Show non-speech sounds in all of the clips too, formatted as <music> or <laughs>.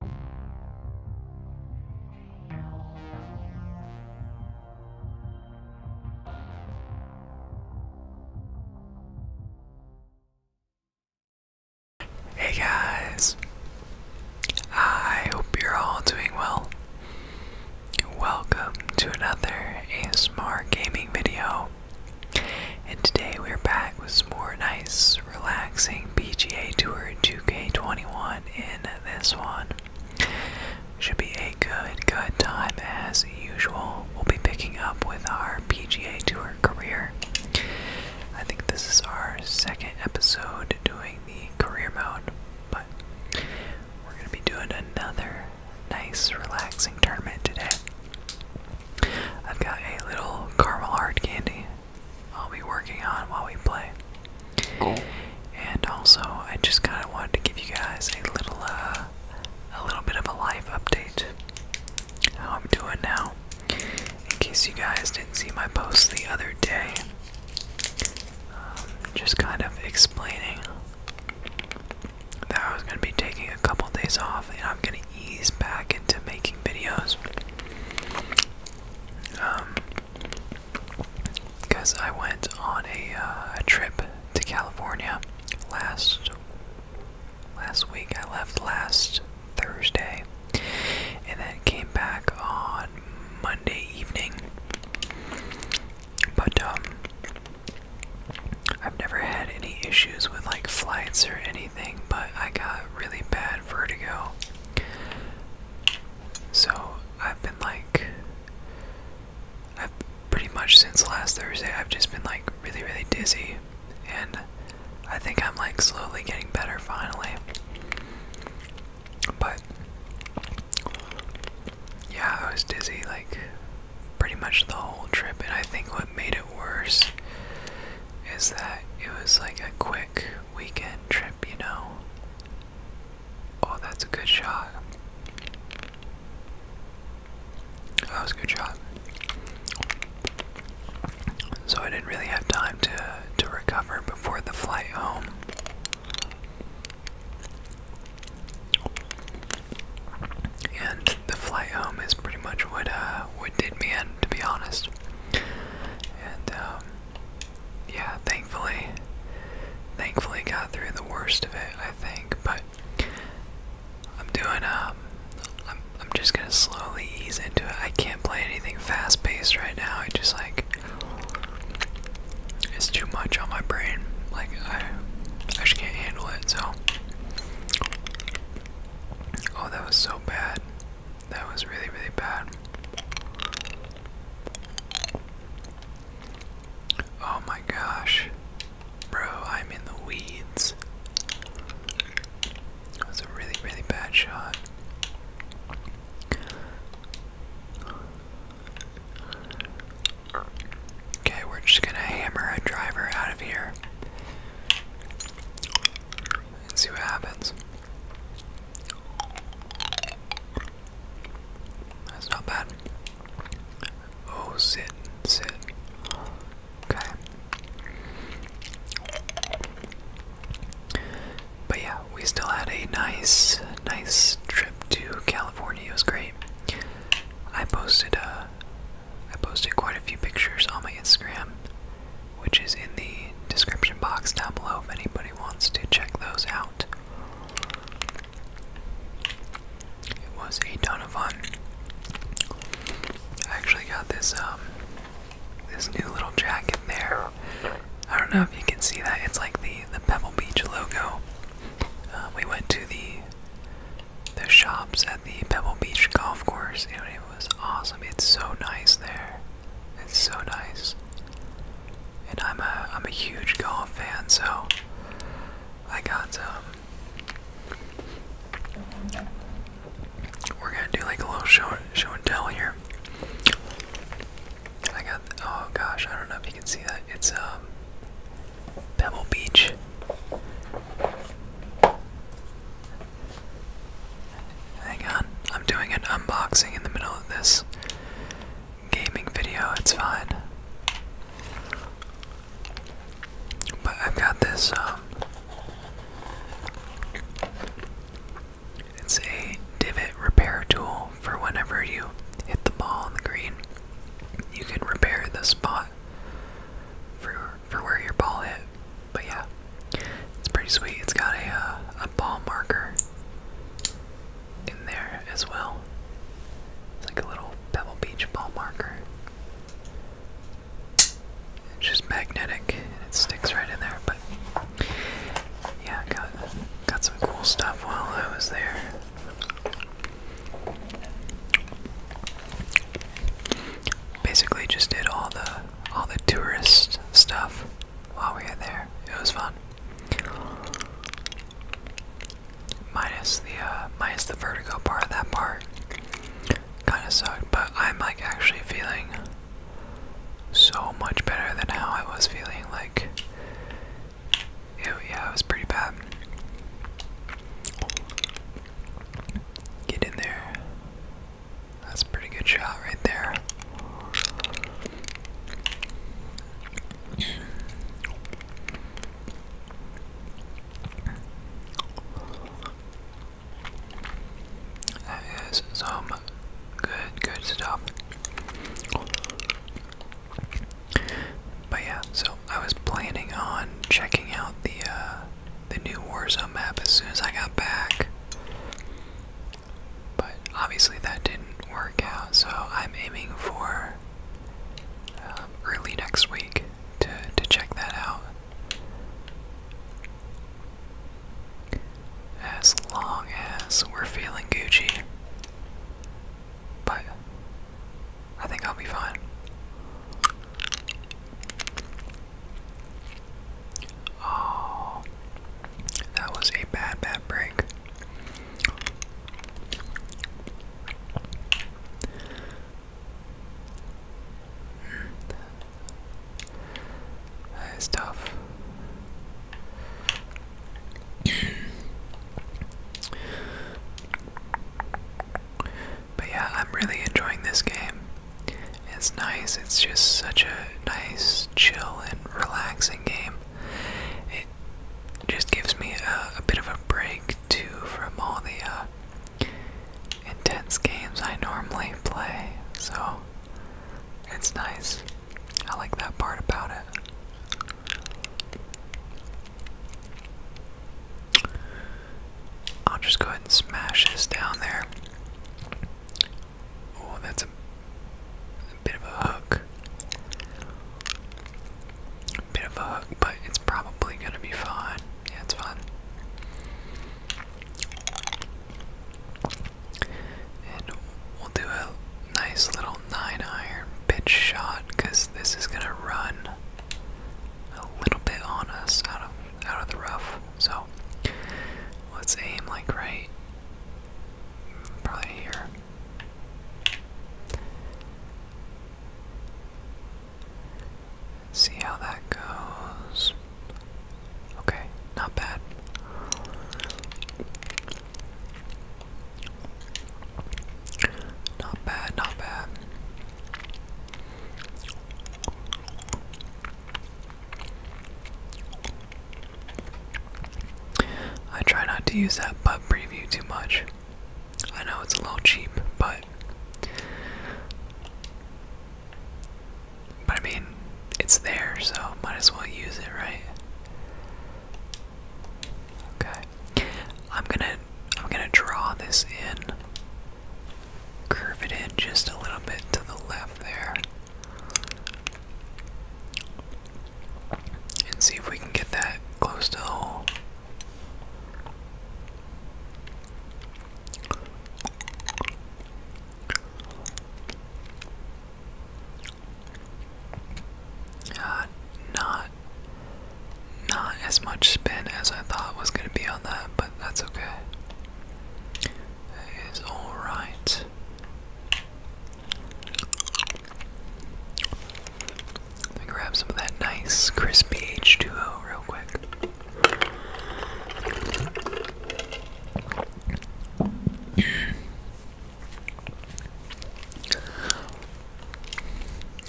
Hey guys, I hope you're all doing well. Welcome to another ASMR gaming video, and today we're back with more nice relaxing PGA Tour 2K21 in this one. Should be a good, good time as usual. We'll be picking up with our PGA Tour career. I think this is our second episode doing the career mode, but we're going to be doing another nice, relaxing tournament today. I've got a little caramel heart candy I'll be working on while we play. Oh. And also, I just kind of wanted to give you guys a little, uh, a little bit of a life update. How I'm doing now. In case you guys didn't see my post the other day, um, just kind of explaining that I was going to be taking a couple days off and I'm going to ease back into making videos. Um, because I went on a, uh, a trip to California last last week. I left last Thursday, and then came back on Monday evening. But um, I've never had any issues with like flights or anything. But I got really bad vertigo. So I've been like, I've pretty much since last Thursday, I've just been like really, really dizzy. And I think I'm like slowly getting better finally. But yeah, I was dizzy like pretty much the whole trip. And I think what made it worse is that it was like a quick weekend trip, you know? Oh, that's a good shot. That was a good shot. So I didn't really have time to to recover before the flight home. And the flight home is pretty much what uh what did me in, to be honest. And um, yeah, thankfully, thankfully got through the worst of it, I think. But I'm doing um, I'm I'm just gonna slowly ease into it. I can't play anything fast paced right now. I just like it's too much on my brain. Like I, I just can't handle it. So, oh, that was so bad. That was really, really bad. Oh my gosh. Bro, I'm in the weeds. That was a really, really bad shot. Okay, we're just gonna hammer a driver out of here and see what happens. That's not bad. Oh, sit, sit. Okay. But yeah, we still had a nice, nice trip to California. It was great. I posted a I posted quite a few pictures on my Instagram, which is in the description box down below if anybody wants to check those out. It was a ton of fun. I actually got this um this new little jacket there. I don't know if you can see that. It's like the the Pebble Beach logo. Uh, we went to the the shops at the Pebble Beach golf course, and it was awesome. It's so nice there. It's so nice. And I'm a I'm a huge golf fan, so I got um We're gonna do like a little show show and tell here. I got oh gosh, I don't know if you can see that. It's um Pebble Beach. Hang on, I'm doing an unboxing in the middle of this gaming video, it's fine. But I've got this, um, it's a divot repair tool for whenever you hit the ball on the green. You can repair the spot for, for where your ball hit. But yeah, it's pretty sweet. It's got a, uh, a ball marker in there as well. It's like a little Pebble Beach ball marker. It's just magnetic and it sticks right in there. But yeah, got got some cool stuff while I was there basically just did all the all the tourist stuff while we were there. It was fun. Minus the uh, minus the vertigo part. of That part kind of sucked, but I'm like actually feeling so much better than how I was feeling. Like, it, yeah, it was pretty bad. Get in there. That's a pretty good shot right there. That is some good, good stuff. But yeah, so I was planning on checking out the uh, the new Warzone map as soon as I got back. But obviously that didn't work out, so I'm aiming for um, early next week to, to check that out. As long as we're feeling Gucci. But I think I'll be fine. Oh, that was a bad, bad break. That is tough. But yeah, I'm really enjoying this game. It's nice, it's just such a nice, chill, and relaxing game. It just gives me a, bit of a break too from all the uh, intense games I normally play, so it's nice. I like that part about it. I'll just go ahead and smash this down there. Oh, that's a, bit of a hook. bit of a hook, but it's probably gonna be fine. Yeah, it's fine. And we'll do a nice little nine iron pitch shot because this is gonna run a little bit on us out of out of the rough. So let's aim like right probably here. see how that goes. Okay, not bad. Not bad, not bad. I try not to use that pub preview too much. I know it's a little cheap, but but I mean, it's there, so might as well use it, right? Okay. I'm gonna I'm gonna draw this in, curve it in just a little bit to the left there, and see if we can get that close to the hole. Ah, not not as much spin as I thought was going to be on that, but that's okay. That is alright. grab some of that nice crispy H2O real quick.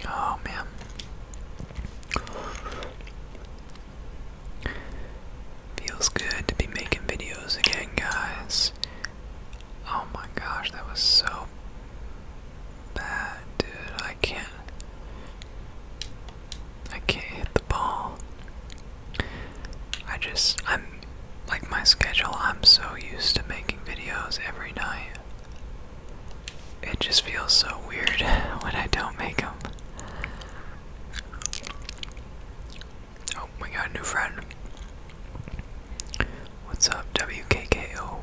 Oh man. Feels good to be making videos again, guys. Oh my gosh, that was so bad, dude. I can't. I can't hit the ball. I just, I'm, like my schedule, I'm so used to making videos every night. It just feels so weird <laughs> when I don't make them. Oh, we got a new friend. What's up, WKKO?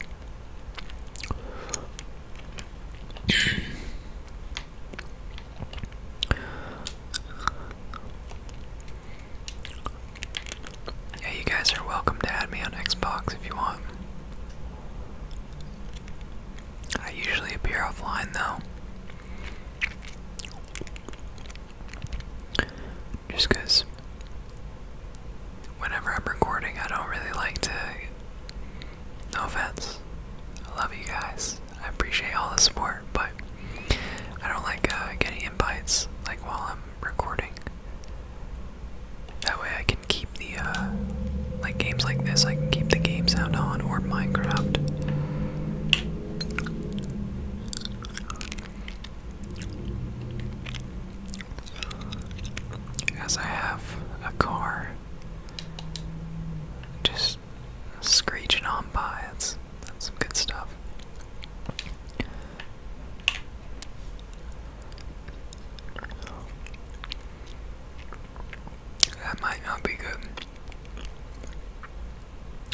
Yeah, you guys are welcome to add me on Xbox if you want. I usually appear offline though. Just because whenever I'm recording, I don't really like to. No offense. I love you guys. I appreciate all the support, but I don't like uh, getting invites like while I'm recording. That way I can keep the uh, like games like this. I can keep the game sound on or Minecraft. As I have a car just screeching on by, it's some good stuff. That might not be good.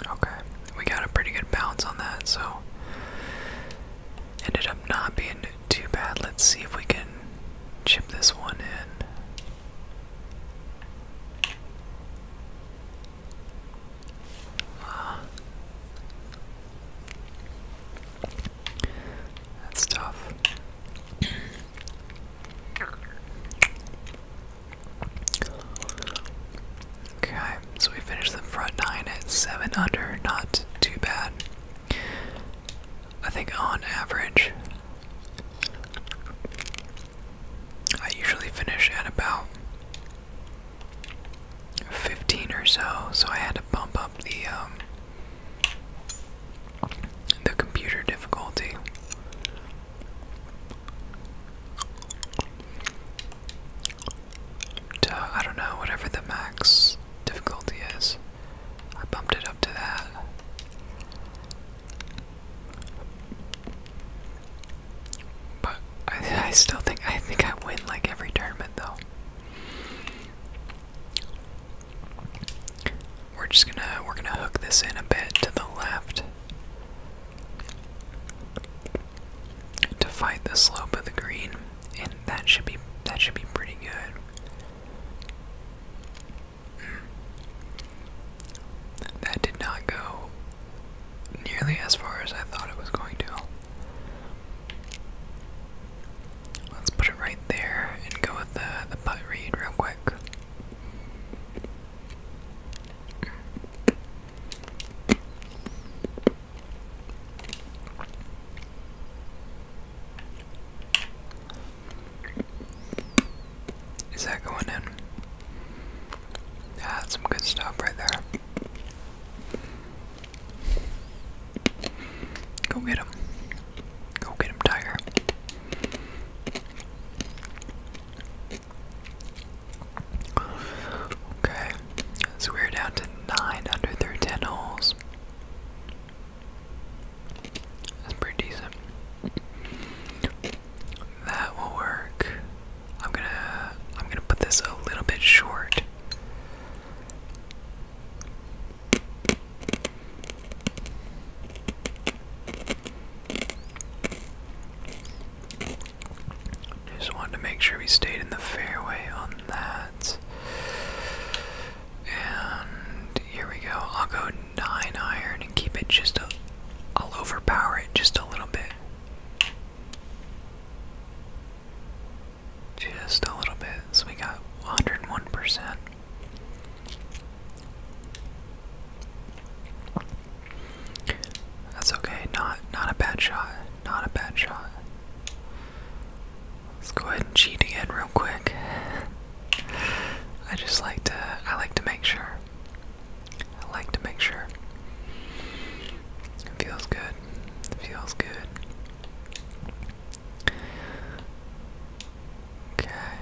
Okay, we got a pretty good bounce on that, so ended up not being too bad. Let's see if we can chip this one in. That's tough. Okay, so we finished the front nine at 7 under, not too bad. I think on average, I usually finish at about 15 or so, so I had to bump up the um, the computer difficulty. To, I don't know, whatever the max difficulty is. I bumped it up to that. But I, I still think I think I win like every tournament though. We're just gonna we're gonna hook this in a bit to the left to fight the slope of the green, and that should be that should be pretty good. That did not go nearly as far as I thought it was going to. Let's put it right there and go with the, the putt read real quick. Is that going in? that's some good stuff right there. Go get him. Go get him, Tiger. Okay, so we're down to nine under through ten holes. That's pretty decent. That will work. I'm gonna I'm gonna put this a little bit short. Just wanted to make sure we stayed in the fairway on that. And here we go. I'll go 9 iron and keep it just a. I'll overpower it just a little bit. Just a little bit, so we got 101%. That's okay, not not a bad shot. Not a bad shot. Let's go ahead and cheat again real quick. I just like to I like to make sure. I like to make sure. It feels good. Feels good. Okay.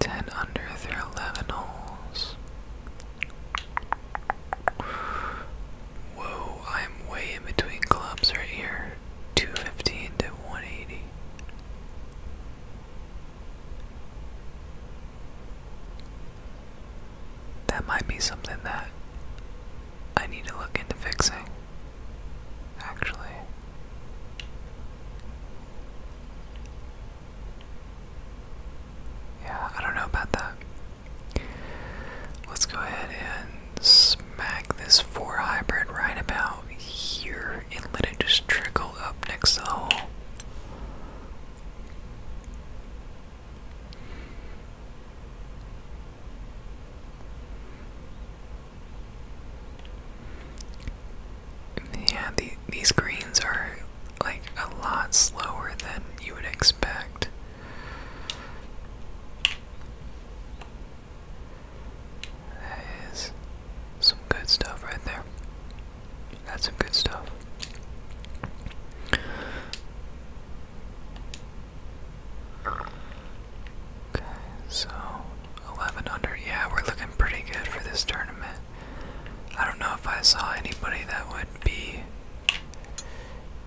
10 under their 11 holes. Whoa, I'm way in between clubs right here. 215 to 180 that might be something that I need to look into fixing, actually. Yeah, I don't know about that. Let's go ahead and smack this 4 hybrid right about here and let it just trickle up next to yeah, these greens are like a lot slower than you would expect. That is some good stuff right there. That's some good stuff. Okay, so 11 Yeah, we're looking pretty good for this tournament. I don't know if I saw anybody that would be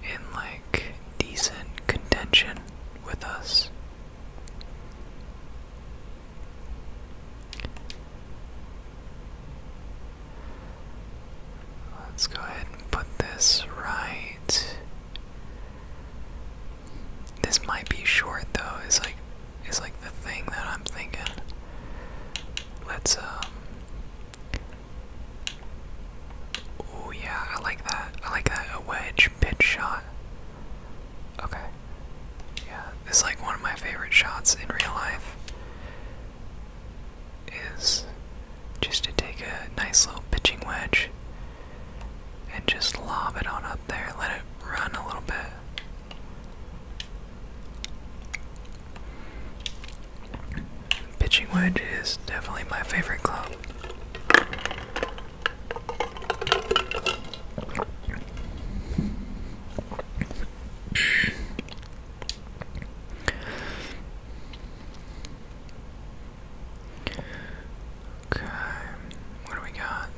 in like decent contention with us. Let's go ahead and put this right. This might be short though, It's like is like the thing that I'm thinking. Let's um Oh yeah, I like that. I like that a wedge pitch shot. Okay. Yeah, this is like one of my favorite shots in real life is just to take a nice little pitching wedge and just lob it on up there, let it run a little bit. Pitching wedge is definitely my favorite club. Okay, what do we got?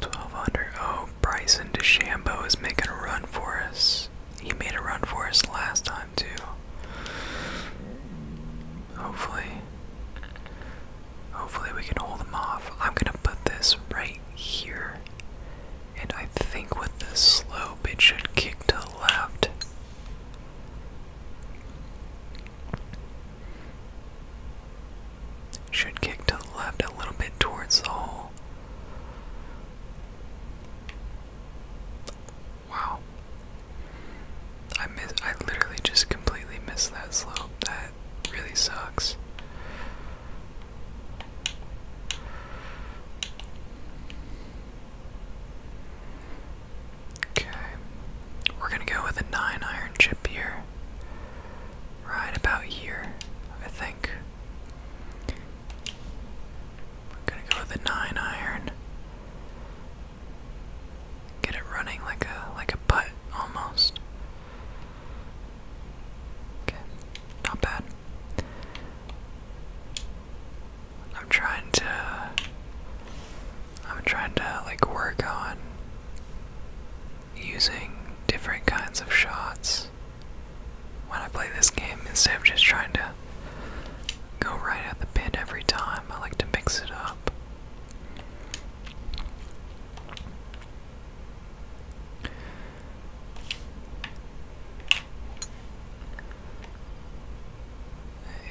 12 under. Oh, Bryson DeChambeau is making a run for us. He made a run for us last time, too. Hopefully, hopefully we can hold him off. I'm gonna put this right here. And I think with this slope, it should kick to the left. Should kick to the left a little bit towards the hole. Wow. I miss I literally just completely missed that slope. That really sucks. Okay. We're going to go with a 9 iron chip here. Right about here, I think. We're going to go with a 9 iron. Get it running like a like a putt almost. Okay, not bad. I'm trying to I'm trying to like work on using different kinds of shots when I play this game instead of just trying to go right at the pin every time. I like to mix it up.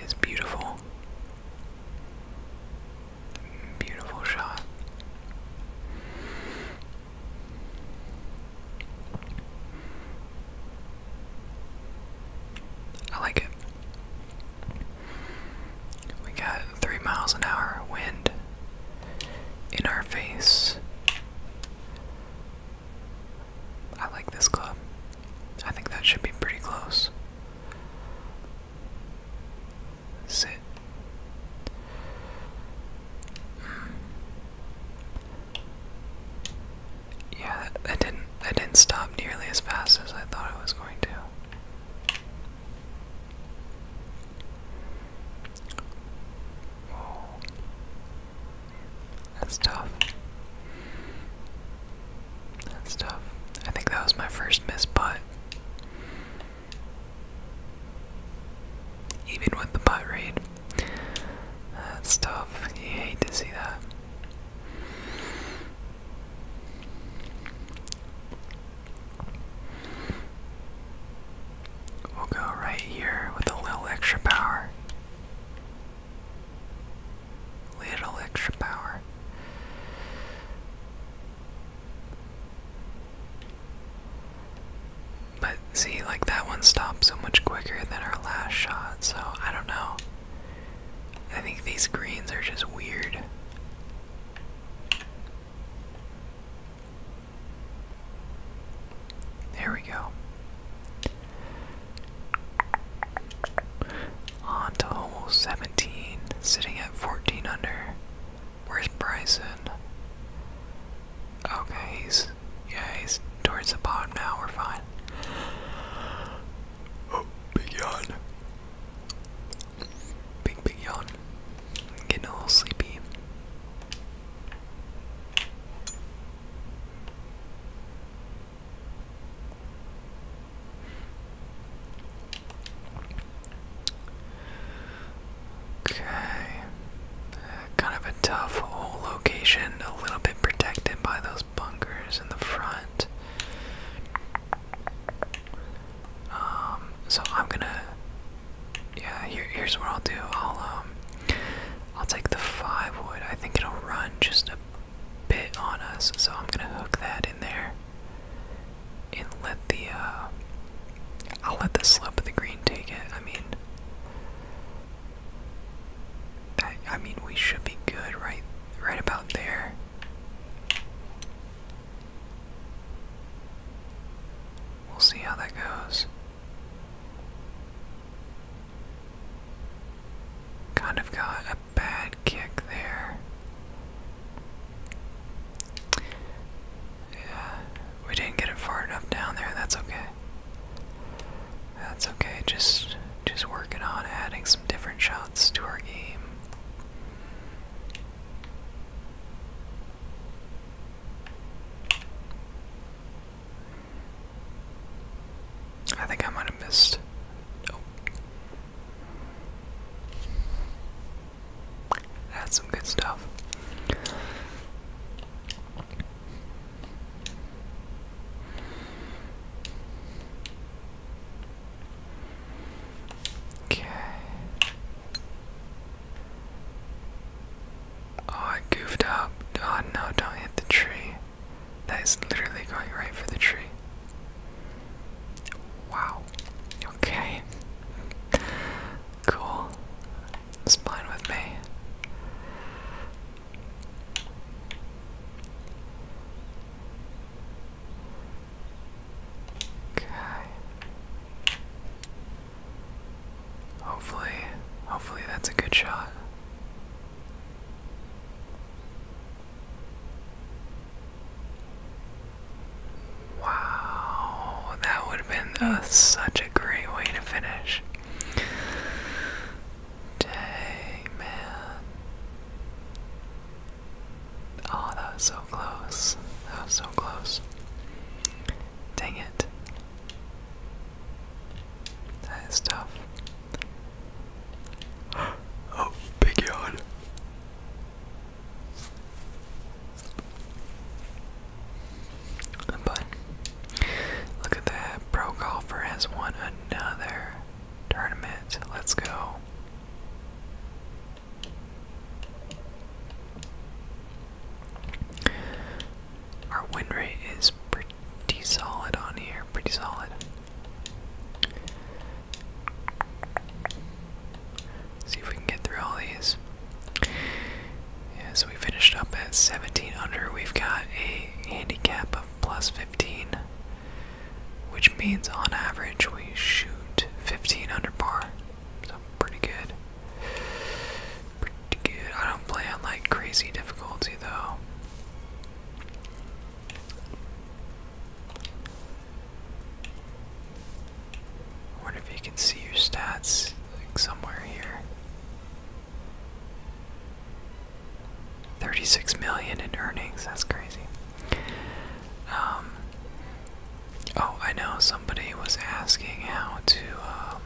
It's beautiful. Beautiful shot. I like it. We got three miles an hour wind in our face. I like this club. I think that should be pretty close. Sit. Yeah, that didn't that didn't stop nearly as fast as I thought it was going to. That's tough. That's tough. I think that was my first miss putt. Even with the putt read. That's tough. You hate to see that. We'll go right here with a little extra power. Little extra power. But see, like that one stopped so much quicker than our last shot, so I don't know. I think these greens are just weird. There we go. On to hole 17, sitting at 14 under. Where's Bryson? Okay, he's yeah, he's towards the bottom now. We're fine. Oh, big yawn. Big, big yawn. getting a little sleepy. Okay. kind of a tough whole location, a little bit protected by those bunkers in the front. Um, so I'm gonna, yeah. here's what I'll do. I'll um, I'll take the five wood. I think it'll run just a bit on us, so I'm gonna hook that in there, and let the uh, I'll let the slope of the green take it. I mean, I, I mean we should be good right, right about there. We'll see how that goes. Kind of got a bad kick there. Yeah, we didn't get it far enough down there. That's okay. That's okay. Just just working on adding some different shots to our game. I think I might have missed. Nope. That's some good stuff. Okay. Oh, I goofed up. Oh no, don't hit the tree. That is literally going right for the tree. Wow. Okay. Cool. It's fine with me. Okay. Hopefully, hopefully that's a good shot. Wow, that would have been uh, such a great way to finish. Dang, Oh, that was so close. That was so close. Dang it. That is tough. <gasps> Oh, big yawn. But look at that. Pro golfer has won another tournament. Let's go. Our win rate is pretty solid on here, pretty solid. See if we can get through all these. Yeah, so we finished up at 17 under. We've got a handicap of plus 15 which means on average we shoot 15 under par. So pretty good. Pretty good. I don't play on like crazy difficulty though. wonder if you can see your stats somewhere here. 36 million in earnings, that's crazy. Um, oh, I know somebody was asking how to um,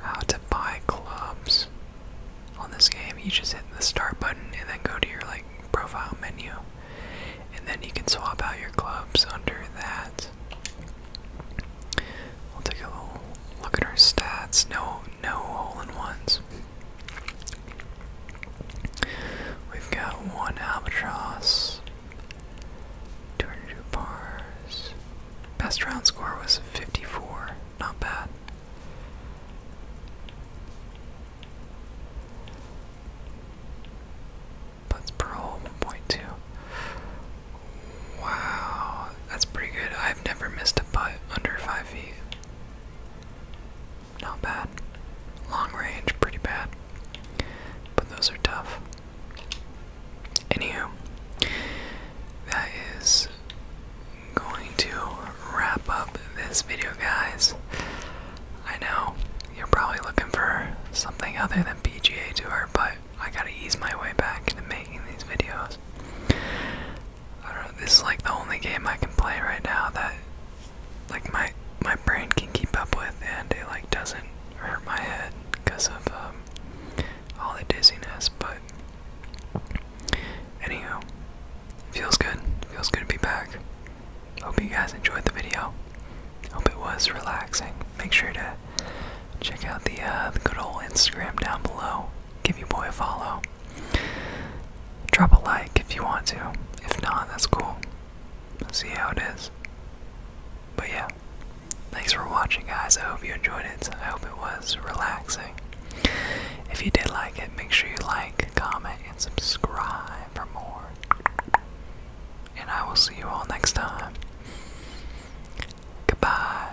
how to buy clubs on this game. You just hit the start button and then go to your like profile menu, and then you can swap out your clubs under that. We'll take a little look at our stats. No, no hole in ones. We've got one albatross, 202 bars. Best round score was 54, not bad. That's per hole 1.2. Wow, that's pretty good. I've never missed a putt under 5 feet. Not bad. Long range, pretty bad. But those are tough. Anywho, that is going to wrap up this video, guys. I know you're probably looking for something other than PGA Tour, but I gotta ease my way back into making these videos. I don't know, this is like the only game I can play right now that like my my brain can keep up with and it like doesn't hurt my head because of um, all the dizziness but anywho feels good feels good to be back hope you guys enjoyed the video hope it was relaxing make sure to check out the uh, the good old Instagram down below give your boy a follow Drop a like if you want to. If not, that's cool. Let's see how it is. But yeah, thanks for watching, guys. I hope you enjoyed it. I hope it was relaxing. If you did like it, make sure you like, comment, and subscribe for more. And I will see you all next time. Goodbye.